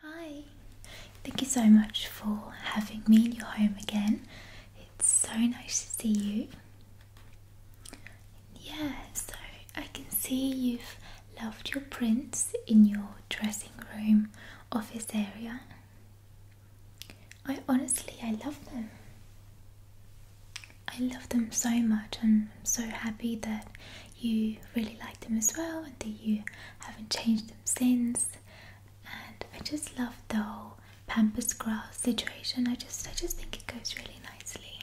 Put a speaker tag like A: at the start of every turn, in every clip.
A: Hi, thank you so much for having me in your home again. It's so nice to see you. Yeah, so I can see you've loved your prints in your dressing room office area. I honestly, I love them. I love them so much, and I'm so happy that you really like them as well and that you haven't changed them since. And I just love the whole pampas grass situation. I just I just think it goes really nicely.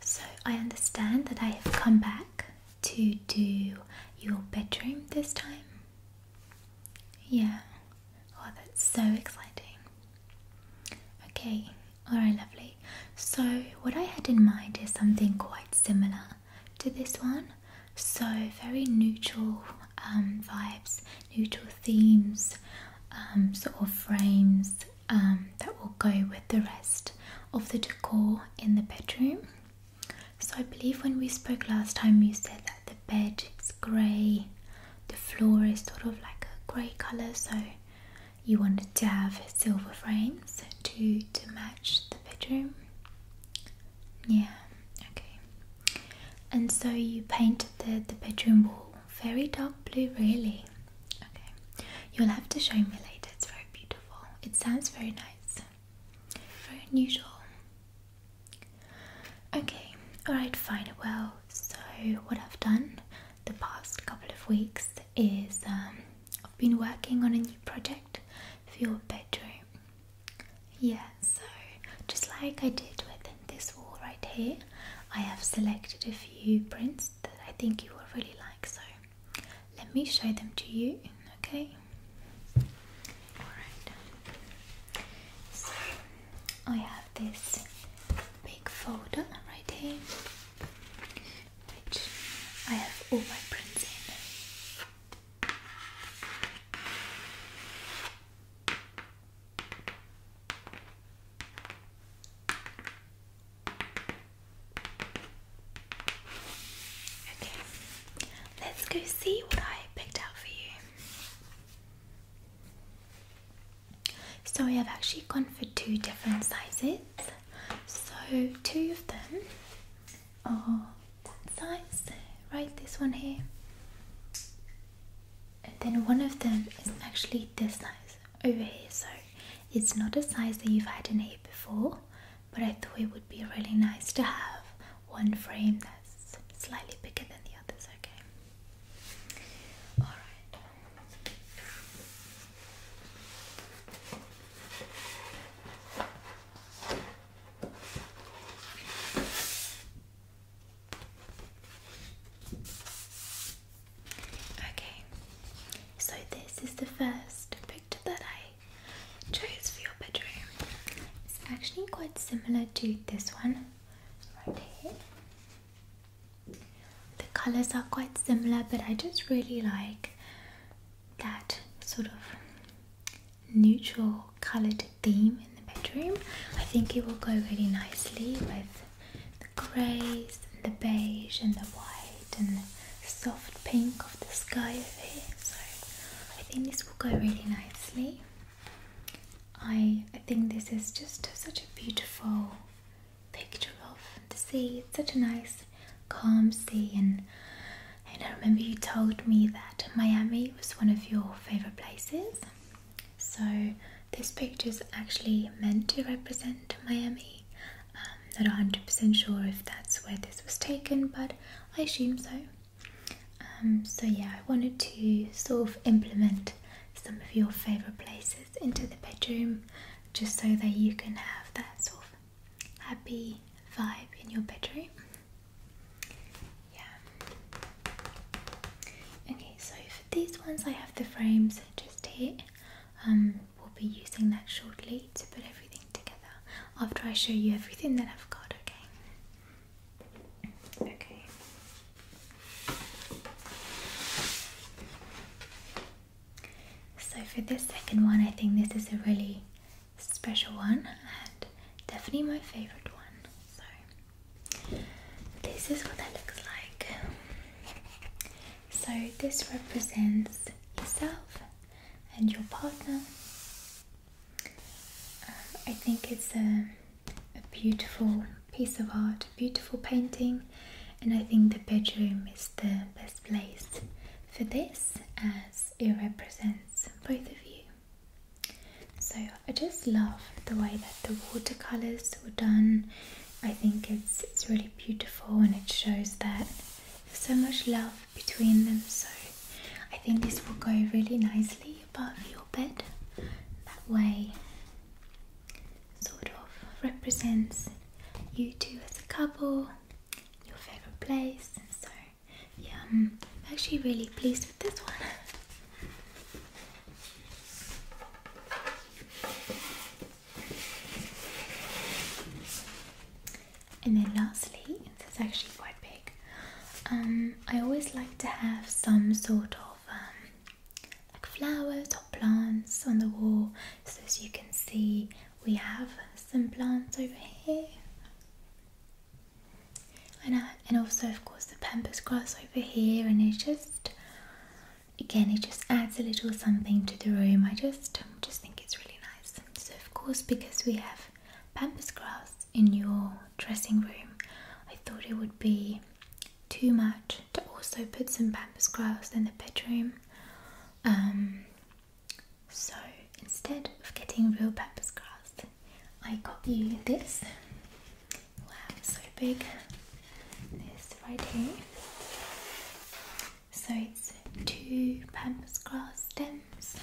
A: So I understand that I have come back to do your bedroom this time. Yeah. Oh that's so exciting. Okay, alright lovely. So what I had in mind is something quite similar to this one. So, very neutral um, vibes, neutral themes, um, sort of frames um, that will go with the rest of the decor in the bedroom. So, I believe when we spoke last time, you said that the bed is grey, the floor is sort of like a grey colour, so you wanted to have silver frames to, to match the bedroom? Yeah, okay. And so you painted the, the bedroom wall very dark blue, really. Okay, you'll have to show me later, it's very beautiful. It sounds very nice, very unusual. Okay, alright, fine. Well, so what I've done the past couple of weeks is um, I've been working on a new project for your bedroom. Yeah, so just like I did with this wall right here, I have selected a few prints that I think you will really like. So let me show them to you, okay? Alright. So I have this big folder right here which I have all my prints in. Okay, let's go see what I picked out for you. So, I have actually gone for two different sizes. So, two of them Oh, that's nice. Right, this one here. And then one of them is actually this size over here, so it's not a size that you've had in here before, but I thought it would be really nice to have one frame that's slightly bigger than the others, okay? Alright. Okay, so this is the first picture that I chose for your bedroom. It's actually quite similar to this one right here. The colours are quite similar, but I just really like that sort of neutral colored theme in the bedroom. I think it will go really nicely with the greys, and the beige, and the white, and the soft pink of the sky over here. So I think this will go really nicely. I I think this is just such a beautiful picture of the sea. It's such a nice calm sea and I remember you told me that Miami was one of your favorite places. So this picture is actually meant to represent Miami. I'm um, not 100% sure if that's where this was taken, but I assume so. Um, so yeah, I wanted to sort of implement some of your favorite places into the bedroom just so that you can have that sort of happy vibe in your bedroom. Yeah. Okay, so for these ones, I have the frames just here. Um, we'll be using that shortly to put everything together after I show you everything that I've got. Okay. Okay. So for this second one, I think this is a really special one and definitely my favorite one. So this is what that looks like. So this represents yourself and your partner. Uh, I think it's a beautiful piece of art, beautiful painting, and I think the bedroom is the best place for this as it represents both of you. So I just love the way that the watercolors were done. I think it's it's really beautiful and it shows that there's so much love between them. So I think this will go really nicely above your bed. That way sort of represents you two as a couple your favorite place. So, yeah, I'm actually really pleased with this one. And then lastly, it's actually quite big. Um, I always like to have some sort of um, like flowers or plants on the wall so as you can see we have some plants over here and, uh, and also of course the pampas grass over here and it just again it just adds a little something to the room I just just think it's really nice so of course because we have pampas grass in your dressing room I thought it would be too much to also put some pampas grass in the bedroom um, so instead of getting real pampas grass, I got you this. Wow, so big. This right here. So it's two pampas grass stems.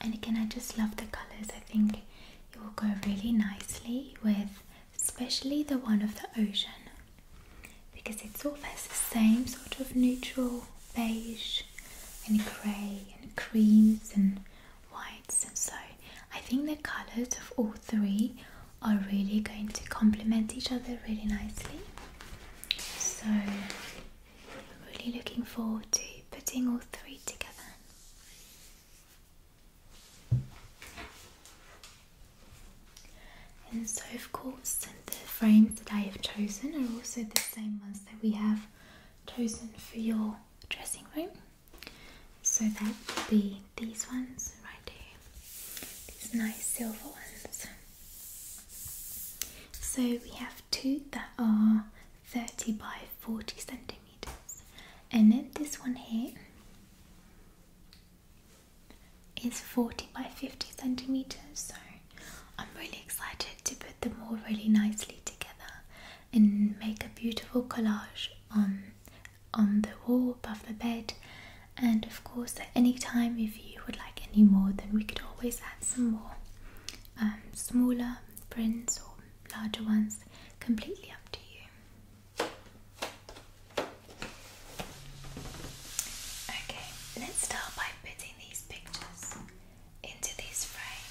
A: And again, I just love the colours. I think it will go really nicely with especially the one of the ocean, because it's all has the same sort of neutral beige and grey and creams and whites. And so I think the colours of all three are really going to complement each other really nicely. So I'm really looking forward to putting all three together. And so of course the frames that I have chosen are also the same ones that we have chosen for your dressing room. So that would be these ones right here, these nice silver ones. So we have two that are 30 by 40 centimeters and then this one here is 40 by 50 centimeters. So I'm really excited to put them all really nicely together and make a beautiful collage on on the wall above the bed. And of course, at any time, if you would like any more, then we could always add some more um, smaller prints or larger ones. Completely up to you. Okay, let's start by putting these pictures into these frames.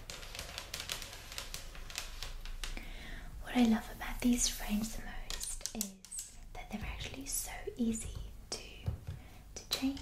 A: What I love about these frames the most is that they're actually so easy to to change.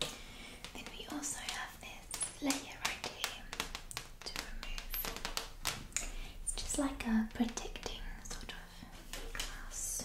A: Then we also have this layer right here to remove. It's just like a protecting sort of glass.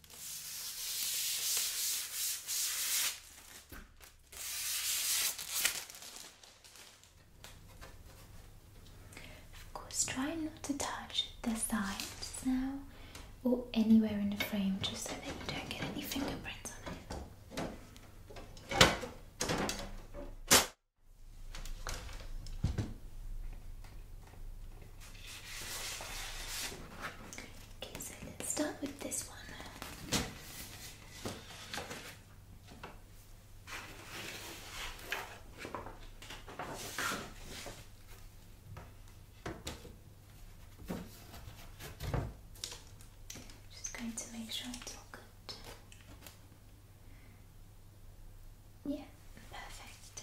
A: Of course, try not to touch the sides now or anywhere in the frame just so that you don't get any fingerprints on it. Okay, so let's start with this one. Just going to make sure it's all good. Yeah, perfect.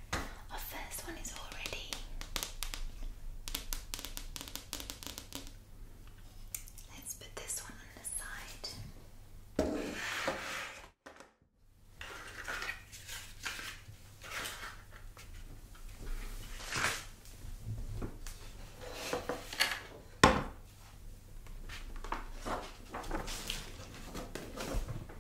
A: our first one is already. Let's put this one on the side.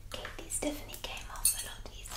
A: Okay, these definitely came off a lot easier.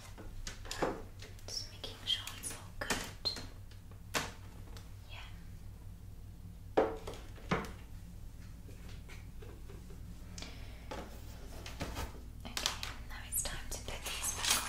A: Just making sure it's all good. Yeah. Okay, now it's time to put these back on.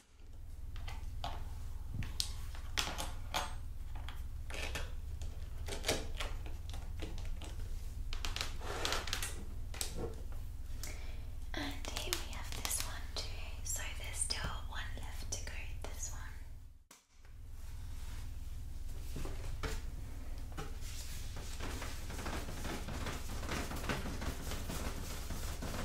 A: And here we have this one too, so there's still one left to go this one.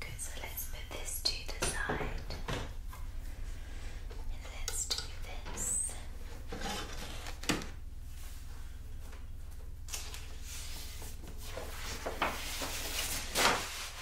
A: Good, so let's put this to the side. let's do this.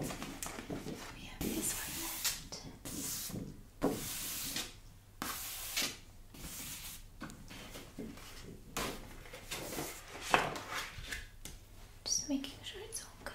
A: Now we have this one left. Just making sure it's all good.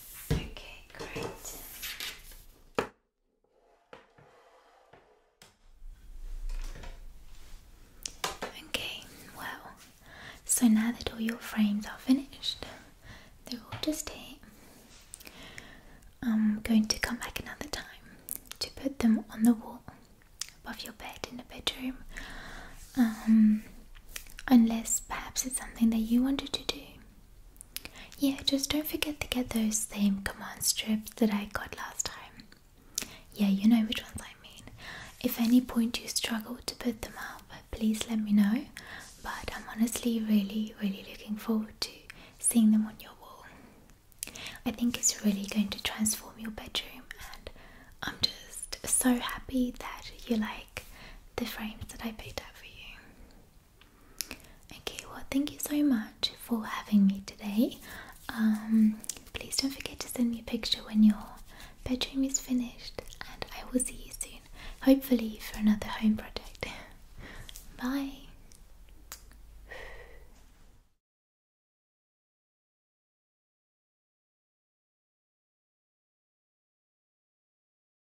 A: Okay, great. Okay, well, so now that all your frames are finished, they're all just here. I'm going to come back another time to put them on the wall above your bed in the bedroom. Um, unless perhaps it's something that you wanted to do yeah, just don't forget to get those same command strips that I got last time. Yeah, you know which ones I mean. If any point you struggle to put them up, please let me know. But I'm honestly really, really looking forward to seeing them on your wall. I think it's really going to transform your bedroom, and I'm just so happy that you like the frames that I picked out for you. Okay, well, thank you so much for having me today. Um, please don't forget to send me a picture when your bedroom is finished, and I will see you soon, hopefully, for another home project. Bye.